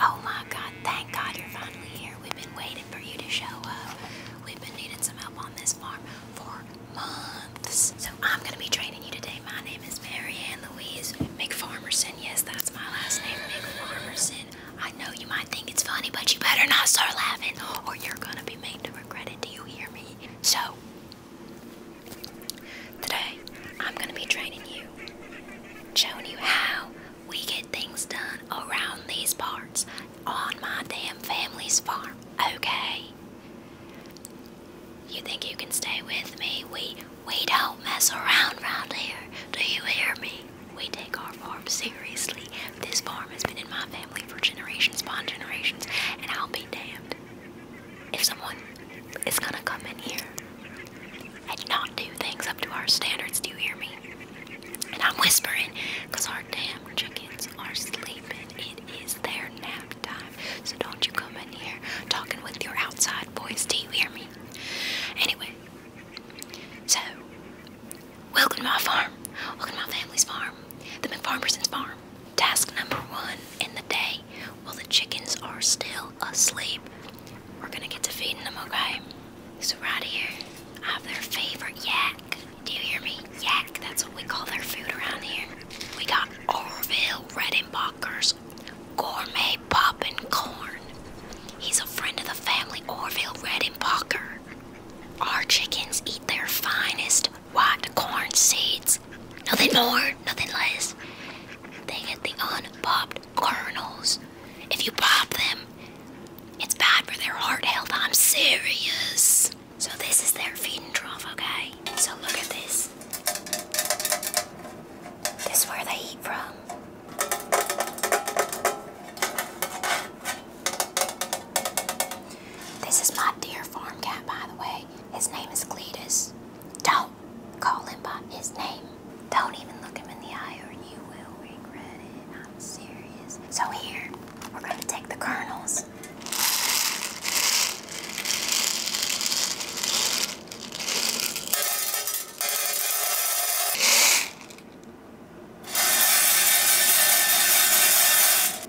Oh my god, thank god you're finally here. We've been waiting for you to show up. We've been needing some help on this farm for months. So I'm gonna be training you today. My name is Mary Ann Louise McFarmerson. Yes, that's my last name, McFarmerson. I know you might think it's funny, but you better not start laughing or you're gonna be made to regret it. Do you hear me? So, today I'm gonna be training you, showing you how we get things done around these parts on my damn family's farm, okay? You think you can stay with me? We we don't mess around round here. Do you hear me? We take our farm seriously. This farm has been in my family for generations upon generations, and I'll be damned if someone is gonna come in here I do not do things up to our standards. Do you hear me? And I'm whispering because our damn chickens are sleeping. It is their nap time. So don't you come in here talking with your outside voice. Do you hear me? Anyway, so welcome to my farm. Welcome to my family's farm, the McFarmerson's farm. Task number one in the day while the chickens are still asleep, we're gonna get to feeding them, okay? So right here, I have their favorite yak. Do you hear me? Yak, that's what we call their food around here. We got Orville Redenbacher's gourmet poppin' corn. He's a friend of the family, Orville Redenbacher. Our chickens eat their finest white corn seeds. Nothing more, nothing less. They get the unpopped kernels. If you pop them, it's bad for their heart health. I'm serious. So this is their feeding trough, okay? So look at this. This is where they eat from. This is my dear farm cat, by the way. His name is Cletus. Don't call him by his name. Don't even look him in the eye or you will regret it. I'm serious. So here, we're going to take the kernels.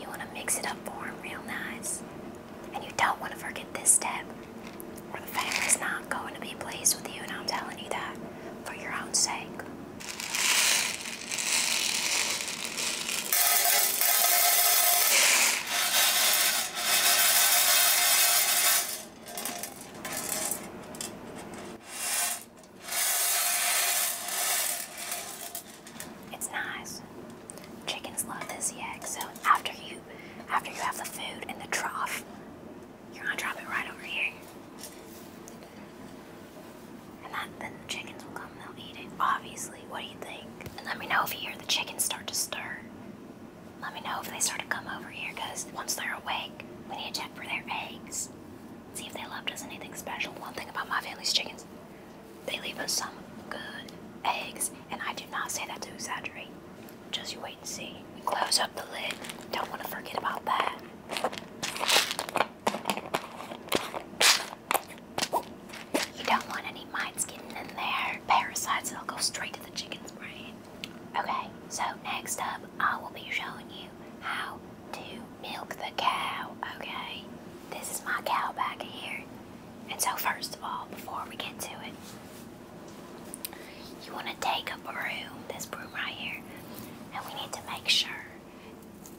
You want to mix it up for him real nice. And you don't want to forget this step, or the family's not going to be pleased with you, and I'm telling you that for your own sake. It's nice. Chickens love this egg. so after you after you have the food in the trough, you're gonna drop it right over here. And then the chickens will come and they'll eat it, obviously. What do you think? let me know if you hear the chickens start to stir. Let me know if they start to come over here, because once they're awake, we need to check for their eggs. See if they left us anything special. One thing about my family's chickens, they leave us some good eggs and I do not say that to exaggerate. Just you wait and see. Close up the lid. Don't want to forget about that. You don't want any mites getting in there. Parasites that'll go straight to the chicken's brain. Okay, so next up, I will be showing you how to milk the cow. Okay, this is my cow back here. And so, first of all, before we get to it, you want to take a broom, this broom right here, and we need to make sure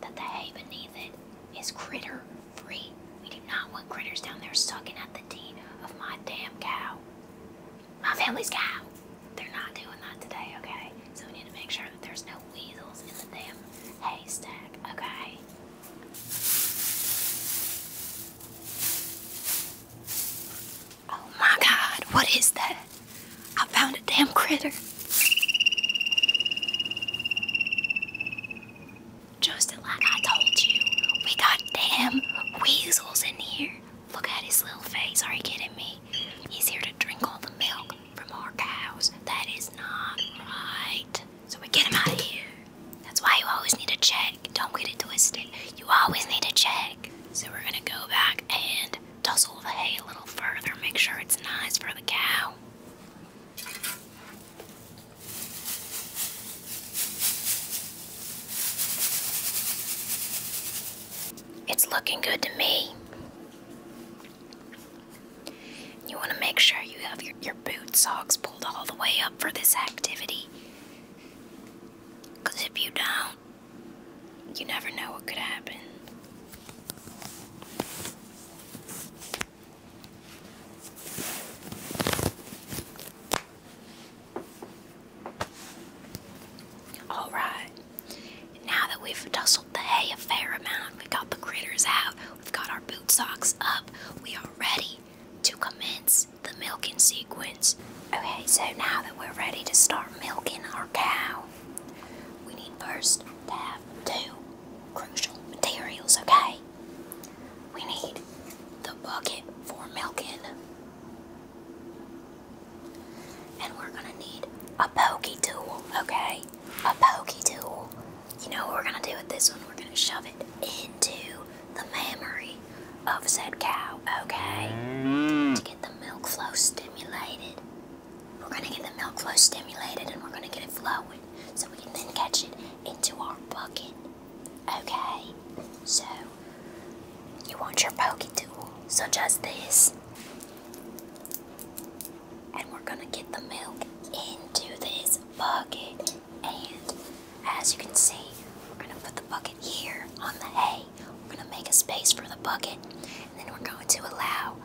that the hay beneath it is critter free. We do not want critters down there sucking at the teat of my damn cow. My family's cow. They're not doing that today, okay? So we need to make sure that there's no weasels in the damn haystack, okay? Oh my god, what is that? I found a damn critter. Just like I told you, we got damn weasels in here. Look at his little face, are you kidding me? He's here to drink all the milk from our cows. That is not right so we get him out of here. That's why you always need a check. Don't get it twisted. You always need a check. So we're gonna go back and tussle the hay a little further, make sure it's nice for the cow. It's looking good to me. You want to make sure you have your, your boot socks pulled all the way up for this activity. if you don't, you never know what could happen. Alright, now that we've dustled the hay a fair amount, we got the critters out, We've got our boot socks up. We are ready to commence the milking sequence. Okay, so now that we're ready to start milking our cow, we need first to have two crucial materials, okay? We need the bucket for milking, and we're gonna need a pokey tool, okay? A pokey tool you know what we're going to do with this one? We're going to shove it into the memory of said cow, okay? Mm. To get the milk flow stimulated. We're going to get the milk flow stimulated and we're going to get it flowing so we can then catch it into our bucket, okay? So, you want your pokey tool, such as this and we're gonna get the milk into this bucket. And as you can see, we're gonna put the bucket here on the hay. We're gonna make a space for the bucket, and then we're going to allow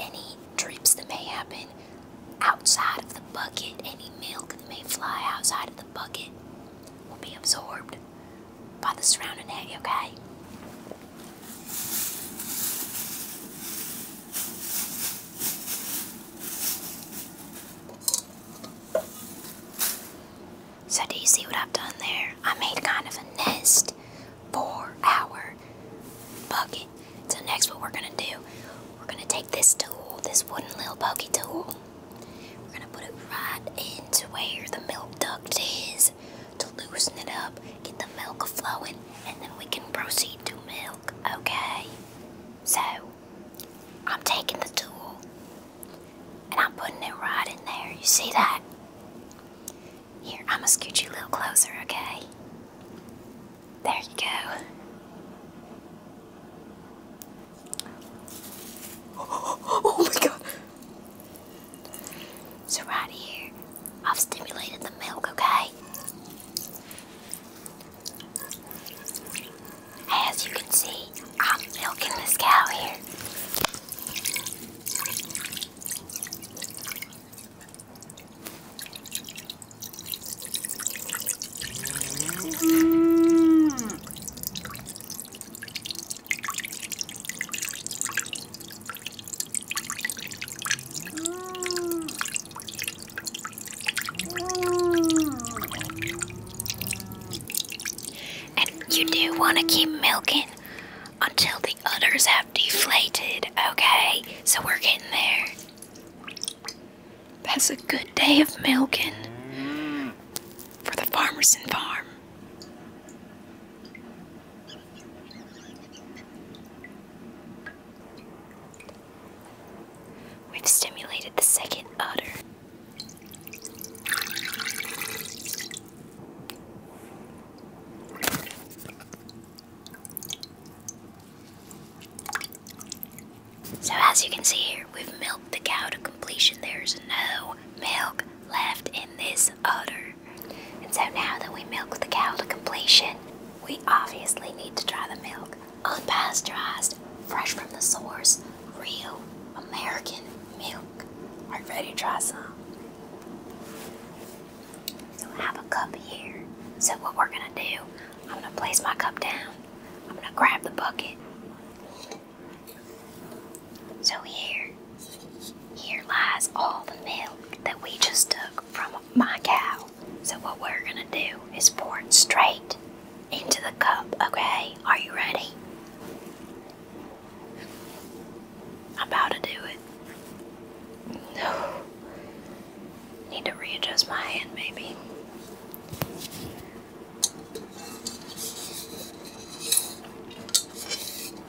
any drips that may happen outside of the bucket, any milk that may fly outside of the bucket will be absorbed by the surrounding hay, okay? So do you see what I've done there? I made kind of a nest for our bucket. So next what we're going to do, we're going to take this tool, this wooden little pokey tool. We're going to put it right into where the milk duct is to loosen it up, get the milk flowing, and then we can proceed to milk okay? So, I'm taking the tool and I'm putting it right in there. You see that? Here, I'm gonna scoot you a little closer, okay? There you go. oh my god! So, right here, I've stimulated the milk, okay? As you can see, I'm milking this cow here. And you do want to keep milking until the udders have deflated, okay? So we're getting there. That's a good day of milking for the Farmerson farm. We've stimulated the second udder. So as you can see here, we've milked the cow to completion. There's no milk left in this udder. And so now that we milk the cow to completion, we obviously need to try the milk. Unpasteurized, fresh from the source, real American milk. Are you ready to try some? So have a cup here. So what we're gonna do, I'm gonna place my cup down. I'm gonna grab the bucket. So here, here lies all the milk that we just took from my cow. So what we're gonna do is pour it straight into the cup, okay? Are you ready? about to do it. No. Need to readjust my hand, maybe.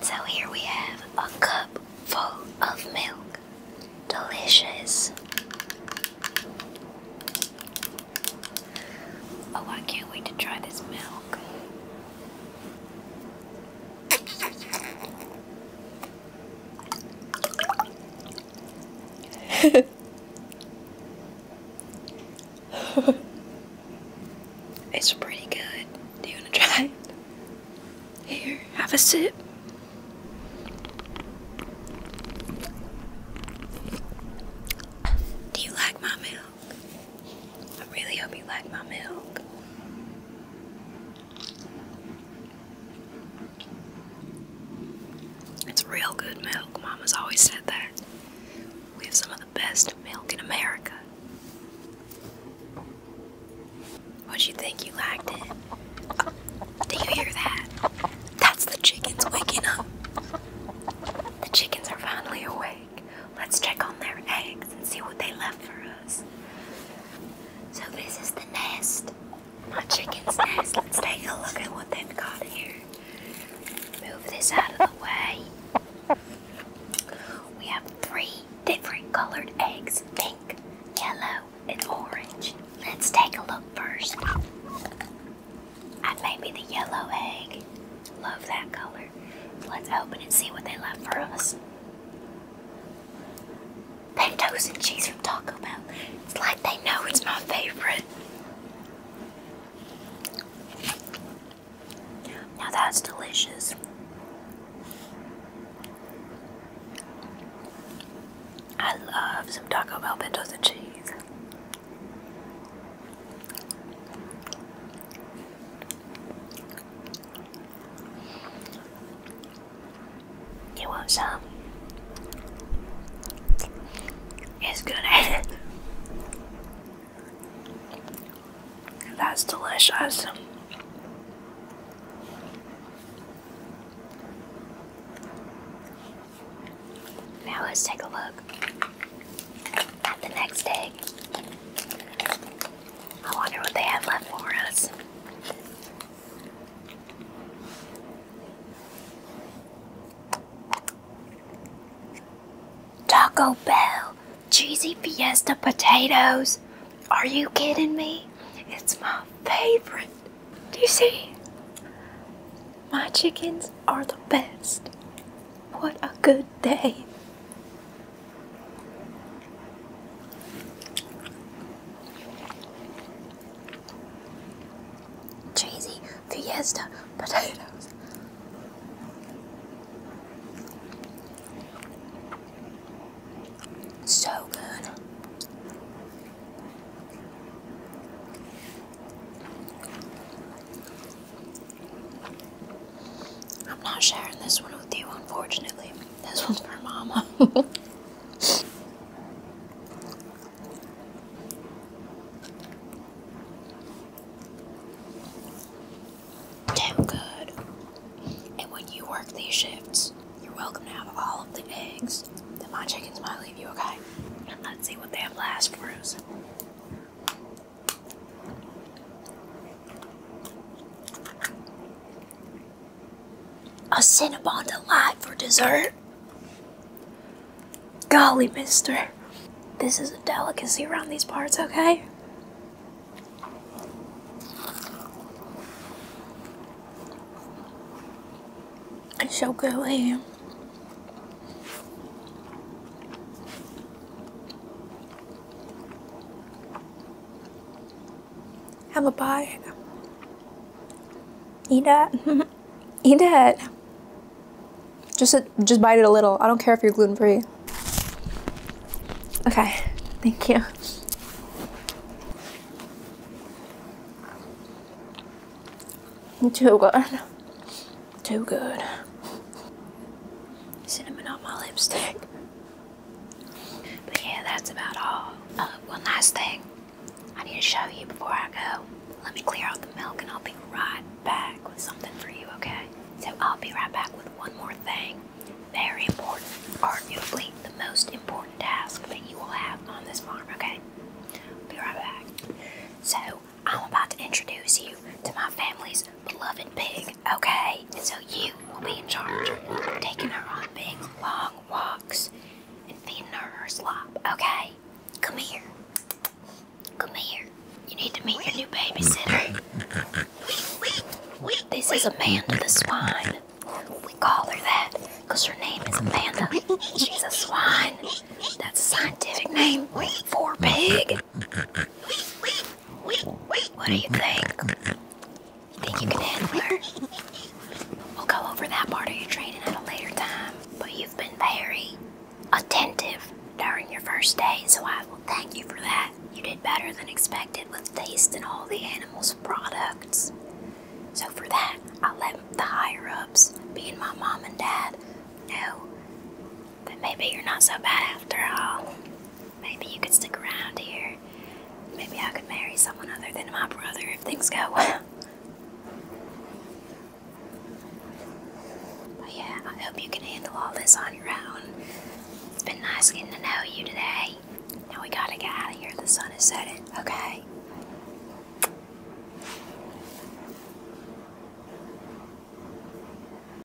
so here we have a cup full of milk. Delicious. Oh, I can't wait to try this milk. it's pretty good. Do you want to try it? Here, have a sip. Do you like my milk? I really hope you like my milk. It's real good milk. Mama's always said that. We have some of the best milk in America. What would you think? You liked it? Oh, Did you hear that? That's the chickens waking up. The chickens are finally awake. Let's check on their eggs and see what they left for us. So, this is the nest my chicken's nest. Let's take a look at what they've got here. Move this out of the way. We have three different colored eggs pink, yellow, and orange. Let's take a look first I at maybe the yellow egg. Love that color. Let's open and see what they left for us. Potatoes and cheese from Taco Bell. It's like they know it's my favorite. Now that's delicious. I love some Taco Bell potatoes and cheese. You want some? It's good. That's delicious. Now let's take a look at the next egg. I wonder what they have left for us. Taco Bell, cheesy fiesta potatoes. Are you kidding me? It's my favorite. Do you see? My chickens are the best. What a good day. Cheesy fiesta potatoes. So good. I'm not sharing this one with you, unfortunately. This one's for mama. Damn good. And when you work these shifts, you're welcome to have all of the eggs that my chickens might leave you, okay? Let's see what they have last for us. A Cinnabon Delight for dessert? Golly, mister. This is a delicacy around these parts, okay? It's so gooey. Have a bite. Eat that. Eat it. Just, just bite it a little. I don't care if you're gluten free. Okay, thank you. Too good. Too good. Cinnamon on my lipstick. But yeah, that's about all. Uh, one last thing I need to show you before I go. Let me clear out the milk and I'll be right back with something for you, okay? So I'll be right back with one more thing. Very important, arguably the most important task that you will have on this farm, okay? Be right back. So I'm about to introduce you to my family's beloved pig okay, so you will be in charge of taking her on big long walks and feeding her her slop, okay? Come here. Come here. You need to meet your new babysitter. This is Amanda the swine. We call her that because her name is Amanda. She's a swine. That's a scientific name for pig. Wait, wait, what do you think? You think you can handle her? We'll go over that part of your training at a later time. But you've been very attentive during your first day, so I will thank you for that. You did better than expected with tasting all the animals' products. So for that, I let the higher ups, being my mom and dad, know but maybe you're not so bad after all. Maybe you could stick around here. Maybe I could marry someone other than my brother if things go well. But yeah, I hope you can handle all this on your own. It's been nice getting to know you today. Now we gotta get out of here. The sun is setting, okay?